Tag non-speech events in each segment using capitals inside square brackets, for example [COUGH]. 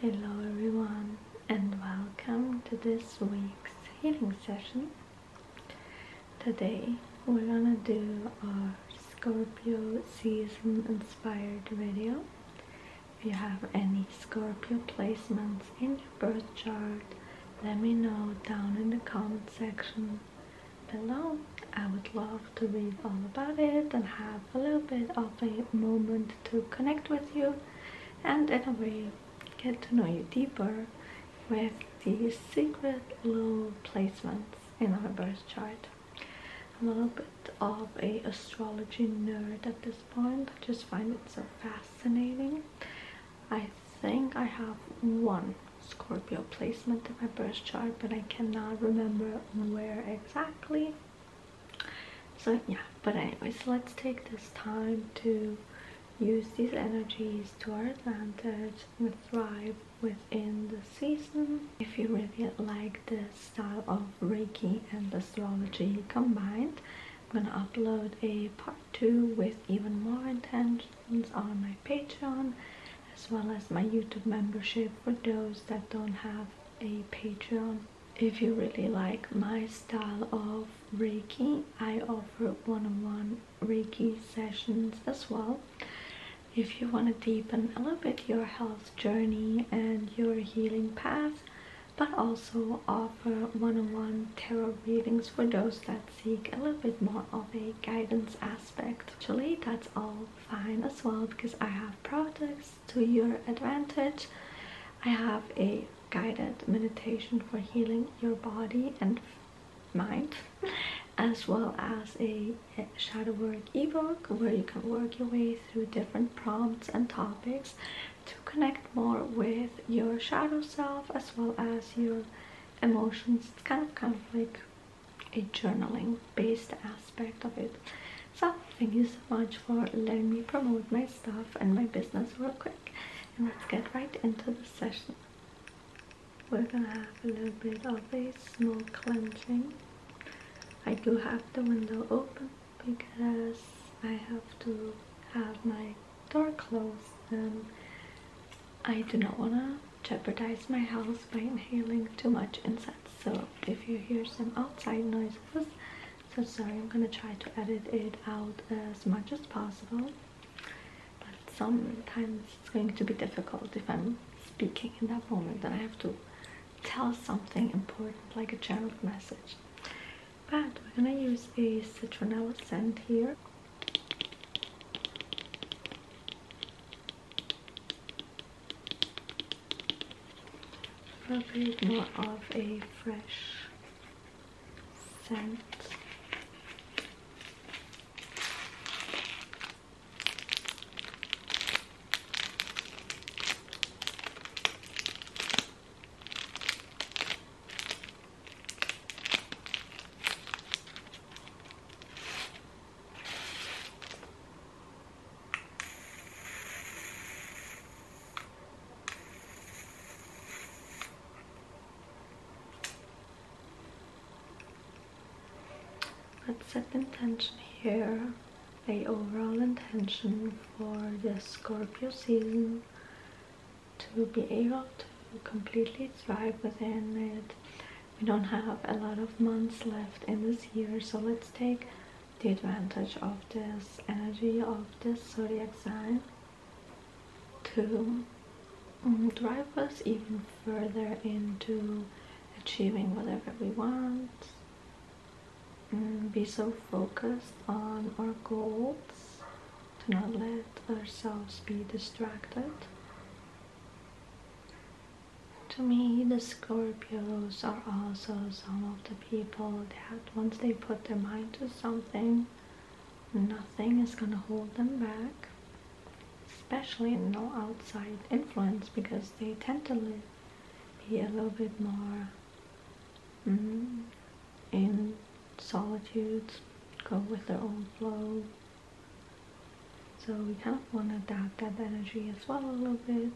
Hello everyone and welcome to this week's healing session. Today we're gonna do our Scorpio season inspired video. If you have any Scorpio placements in your birth chart, let me know down in the comment section below. I would love to read all about it and have a little bit of a moment to connect with you and in a way get to know you deeper with these secret little placements in our birth chart. I'm a little bit of a astrology nerd at this point. just find it so fascinating. I think I have one Scorpio placement in my birth chart, but I cannot remember where exactly so yeah but anyways let's take this time to use these energies to our advantage and thrive within the season if you really like this style of reiki and astrology combined i'm gonna upload a part two with even more intentions on my patreon as well as my youtube membership for those that don't have a Patreon if you really like my style of Reiki. I offer one-on-one Reiki sessions as well. If you want to deepen a little bit your health journey and your healing path, but also offer one -on -one tarot readings for those that seek a little bit more of a guidance aspect. Actually, that's all fine as well because I have products to your advantage. I have a guided meditation for healing your body and mind as well as a shadow work ebook where you can work your way through different prompts and topics to connect more with your shadow self as well as your emotions kind of conflict a journaling based aspect of it. So thank you so much for letting me promote my stuff and my business real quick. And let's get right into the session. We're gonna have a little bit of a small cleansing. I do have the window open because I have to have my door closed and I do not wanna jeopardize my health by inhaling too much incense. So if you hear some outside noises, so sorry, I'm gonna try to edit it out as much as possible. But sometimes it's going to be difficult if I'm speaking in that moment and I have to tell something important like a channel message. But we're gonna use a citronella scent here. Probably more of a fresh scent. Let's set the intention here, the overall intention for the Scorpio season to be able to completely thrive within it we don't have a lot of months left in this year so let's take the advantage of this energy of this zodiac sign to mm, drive us even further into achieving whatever we want um, be so focused on our goals to not let ourselves be distracted to me, the Scorpios are also some of the people that once they put their mind to something, nothing is gonna hold them back, especially no outside influence because they tend to live, be a little bit more mm, in solitude, go with their own flow, so we kind of want to adopt that energy as well a little bit.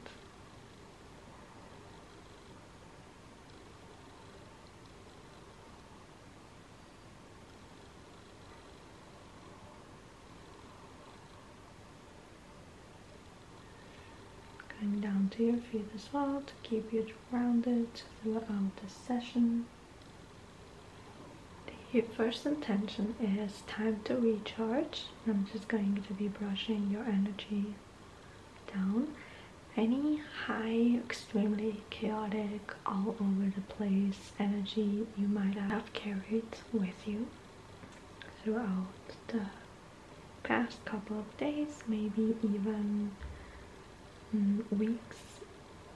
Going down to your feet as well to keep you grounded throughout the session. Your first intention is time to recharge. I'm just going to be brushing your energy down. Any high, extremely chaotic, all over the place energy you might have carried with you throughout the past couple of days, maybe even mm, weeks.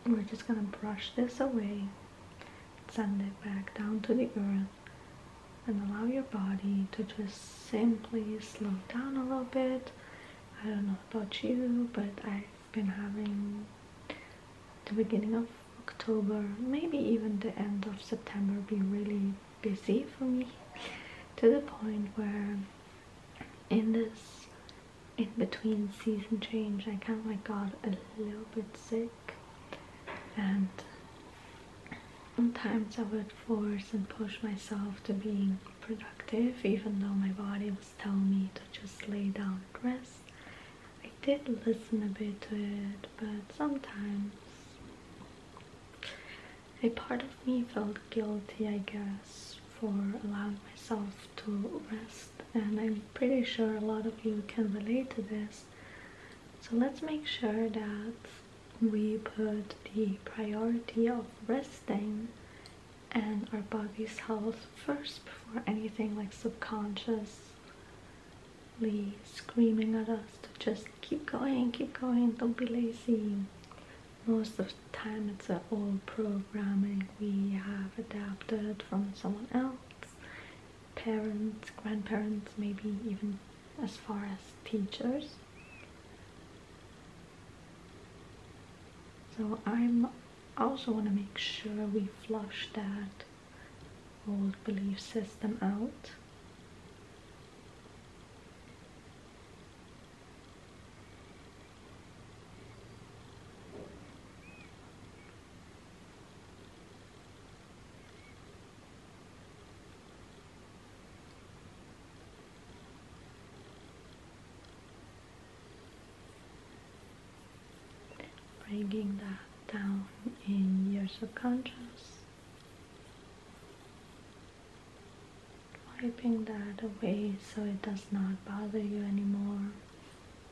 We're just gonna brush this away send it back down to the earth and allow your body to just simply slow down a little bit. I don't know about you, but I've been having the beginning of October, maybe even the end of September, be really busy for me [LAUGHS] to the point where in this in between season change I kind of like got a little bit sick and sometimes I would force and push myself to being productive even though my body was telling me to just lay down and rest I did listen a bit to it but sometimes a part of me felt guilty I guess for allowing myself to rest and I'm pretty sure a lot of you can relate to this so let's make sure that we put the priority of resting and our body's health first before anything like subconsciously screaming at us to just keep going, keep going, don't be lazy. Most of the time it's an old programming we have adapted from someone else parents, grandparents, maybe even as far as teachers. So I'm also want to make sure we flush that old belief system out bringing that down in your subconscious, wiping that away so it does not bother you anymore.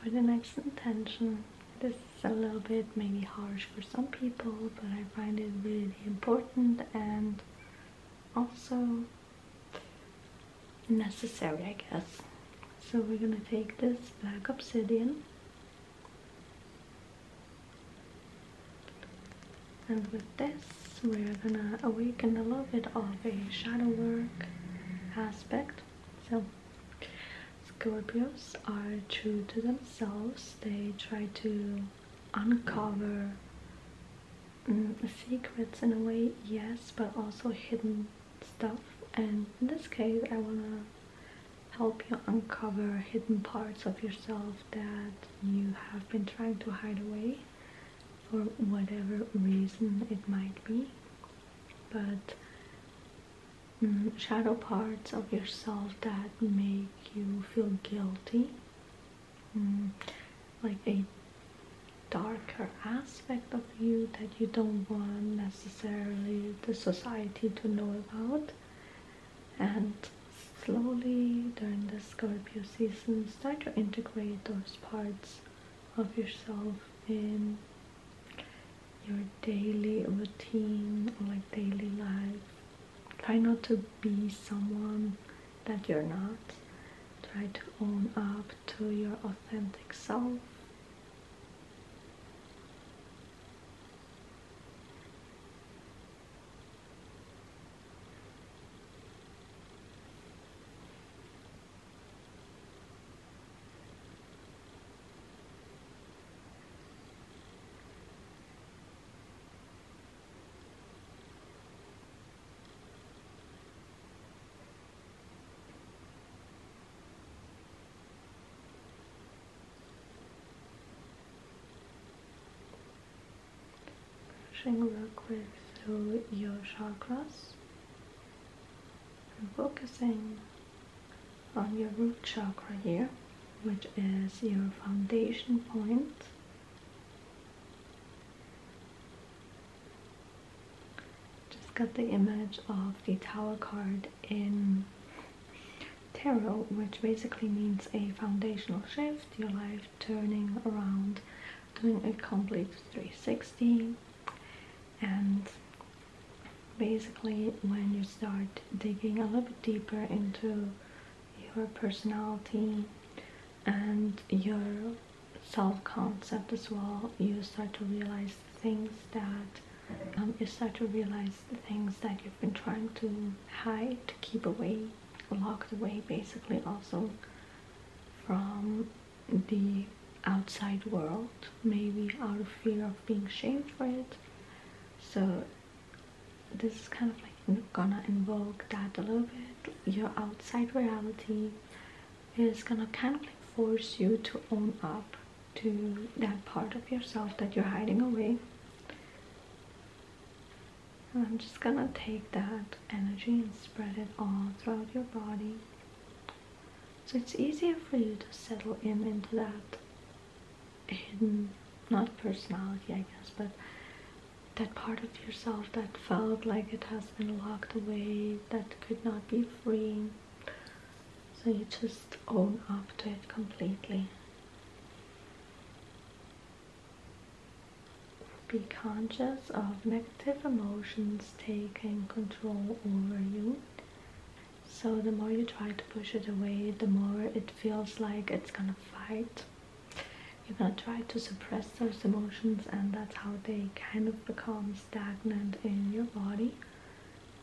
for the next intention. This is a little bit maybe harsh for some people, but I find it really important and also necessary, I guess. So we're gonna take this black obsidian and with this we're gonna awaken a little bit of a shadow work aspect. So Scorpios are true to themselves. They try to uncover mm, secrets in a way, yes, but also hidden stuff. And in this case, I want to help you uncover hidden parts of yourself that you have been trying to hide away for whatever reason it might be. But Mm, shadow parts of yourself that make you feel guilty, mm, like a darker aspect of you that you don't want necessarily the society to know about. And slowly during the Scorpio season, start to integrate those parts of yourself in your daily routine or like daily life. Try not to be someone that you're not. Try to own up to your authentic self. Brushing backwards through your chakras. I'm focusing on your root chakra here, which is your foundation point. Just got the image of the Tower card in tarot, which basically means a foundational shift, your life turning around, doing a complete 360 and basically when you start digging a little bit deeper into your personality and your self-concept as well you start to realize things that um, you start to realize the things that you've been trying to hide to keep away locked away basically also from the outside world, maybe out of fear of being shamed for it. So this is kind of like gonna invoke that a little bit. Your outside reality is gonna kind of like force you to own up to that part of yourself that you're hiding away. And I'm just gonna take that energy and spread it all throughout your body. So it's easier for you to settle in into that hidden, not personality, I guess, but that part of yourself that felt like it has been locked away, that could not be free. So you just own up to it completely. Be conscious of negative emotions Taking control over you. So the more you try to push it away, the more it feels like it's gonna fight. You're gonna try to suppress those emotions and that's how they kind of become stagnant in your body.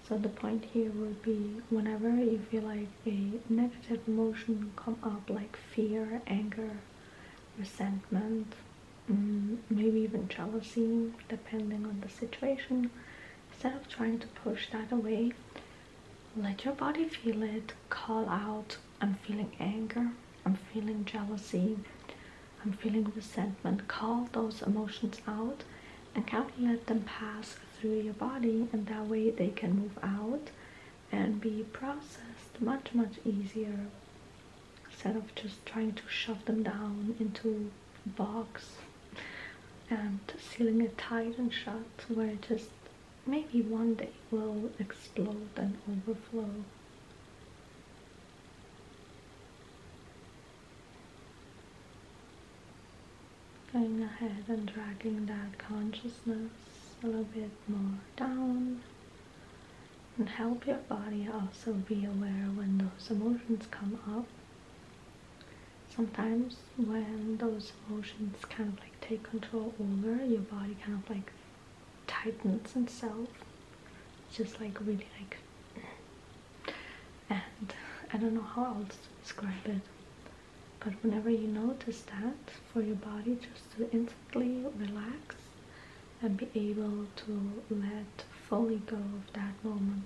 So the point here would be whenever you feel like a negative emotion come up like fear, anger, resentment, Mm, maybe even jealousy, depending on the situation. Instead of trying to push that away, let your body feel it. Call out, I'm feeling anger, I'm feeling jealousy, I'm feeling resentment. Call those emotions out and count let them pass through your body, and that way they can move out and be processed much, much easier instead of just trying to shove them down into a box and sealing it tight and shut where it just maybe one day will explode and overflow going ahead and dragging that consciousness a little bit more down and help your body also be aware when those emotions come up. Sometimes when those emotions kind of like take control over, your body kind of like tightens itself. Just like really like and I don't know how else to describe it. But whenever you notice that for your body just to instantly relax and be able to let fully go of that moment.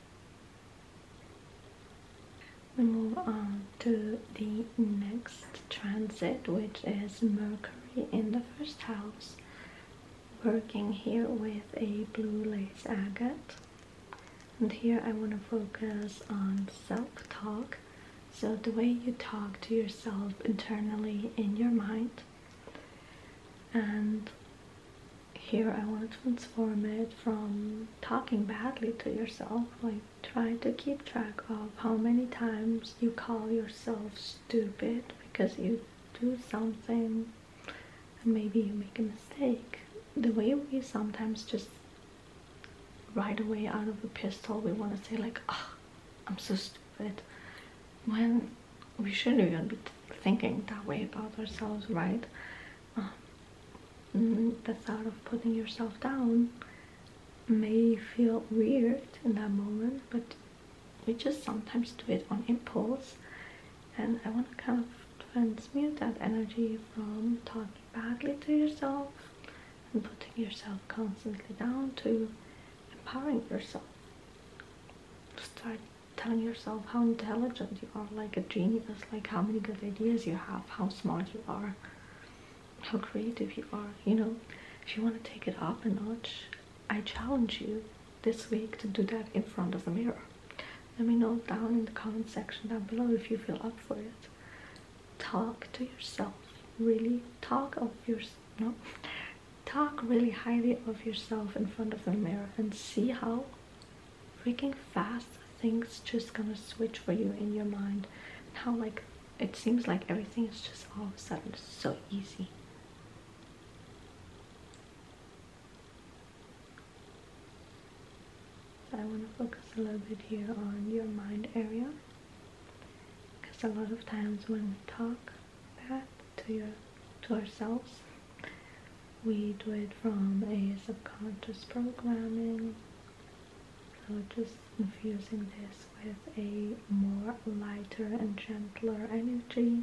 We move on to the next transit, which is Mercury in the first house, working here with a blue lace agate. And here I want to focus on self talk. So, the way you talk to yourself internally in your mind, and here I want to transform it from talking badly to yourself, like trying to keep track of how many times you call yourself stupid because you do something and maybe you make a mistake. The way we sometimes just right away out of the pistol, we want to say like, oh, I'm so stupid. When we shouldn't even be thinking that way about ourselves, right? Um, mm, the thought of putting yourself down may feel weird in that moment, but we just sometimes do it on impulse. And I want to kind of transmute that energy from talking badly to yourself and putting yourself constantly down to empowering yourself. Start telling yourself how intelligent you are, like a genius, like how many good ideas you have, how smart you are, how creative you are. You know, if you want to take it up a notch, I challenge you this week to do that in front of the mirror. Let me know down in the comment section down below if you feel up for it. Talk to yourself. Really talk of yourself. No, talk really highly of yourself in front of the mirror and see how freaking fast things just gonna switch for you in your mind how like it seems like everything is just all of a sudden so easy so i want to focus a little bit here on your mind area because a lot of times when we talk that to your to ourselves. We do it from a subconscious programming. So just infusing this with a more lighter and gentler energy.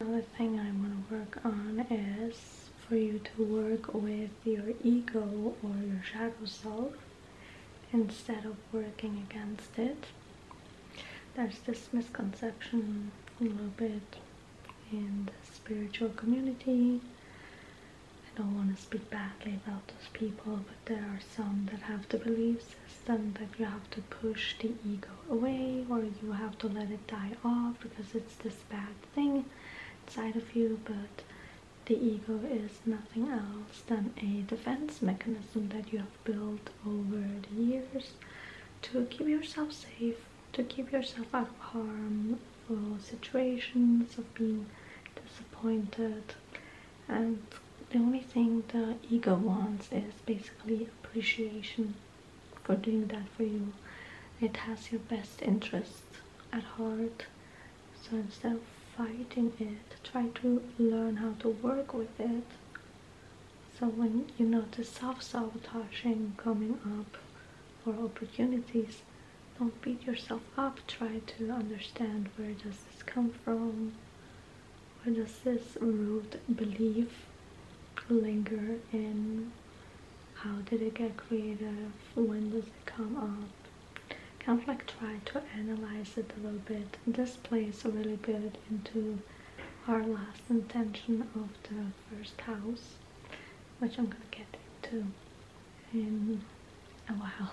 Another thing I want to work on is for you to work with your ego or your shadow self instead of working against it. There's this misconception a little bit in the spiritual community. I don't want to speak badly about those people, but there are some that have the belief system that you have to push the ego away or you have to let it die off because it's this bad thing inside of you, but the ego is nothing else than a defense mechanism that you built over the years to keep yourself safe, to keep yourself out of harmful situations, of being disappointed. And the only thing the ego wants is basically appreciation for doing that for you. It has your best interest at heart. So instead of fighting it, try to learn how to work with it so when you notice self-sabotaging coming up or opportunities, don't beat yourself up. Try to understand where does this come from? Where does this root belief linger in? How did it get created? When does it come up? Kind of like try to analyze it a little bit. This plays really good into our last intention of the first house, which I'm gonna get into in a while.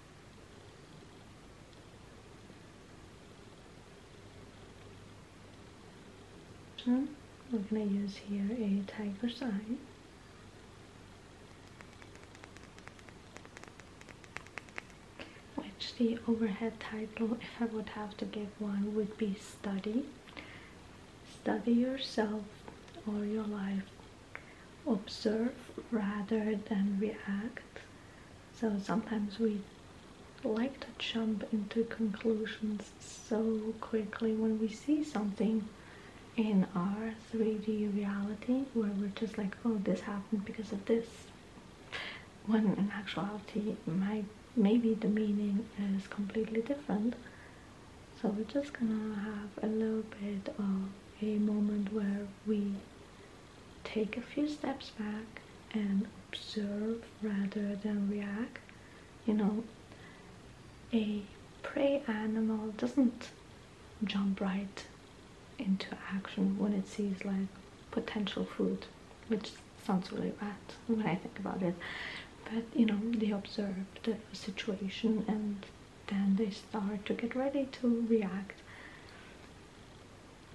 we're going to use here a tiger's sign. Which the overhead title, if I would have to give one, would be study. Study yourself or your life. Observe rather than react. So sometimes we like to jump into conclusions so quickly when we see something in our 3D reality where we're just like, oh, this happened because of this. When in actuality, my, maybe the meaning is completely different. So we're just gonna have a little bit of a moment where we take a few steps back and observe rather than react. You know, a prey animal doesn't jump right into action when it sees like potential food, which sounds really bad when I think about it. But you know, they observe the situation and then they start to get ready to react.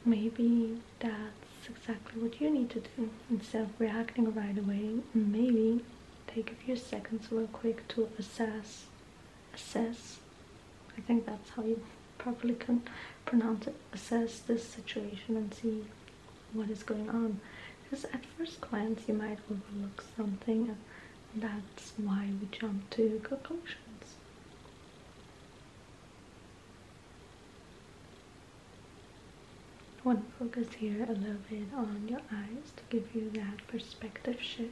Maybe that's exactly what you need to do. Instead of reacting right away, maybe take a few seconds real quick to assess. Assess. I think that's how you properly can pronounce it. Assess this situation and see what is going on. Because at first glance you might overlook something and that's why we jump to conclusions. I want to focus here a little bit on your eyes to give you that perspective shift.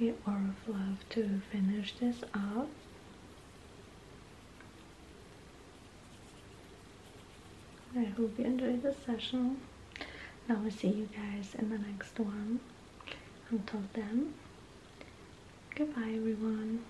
I would love to finish this off. I hope you enjoyed the session. I will see you guys in the next one. Until then, goodbye everyone.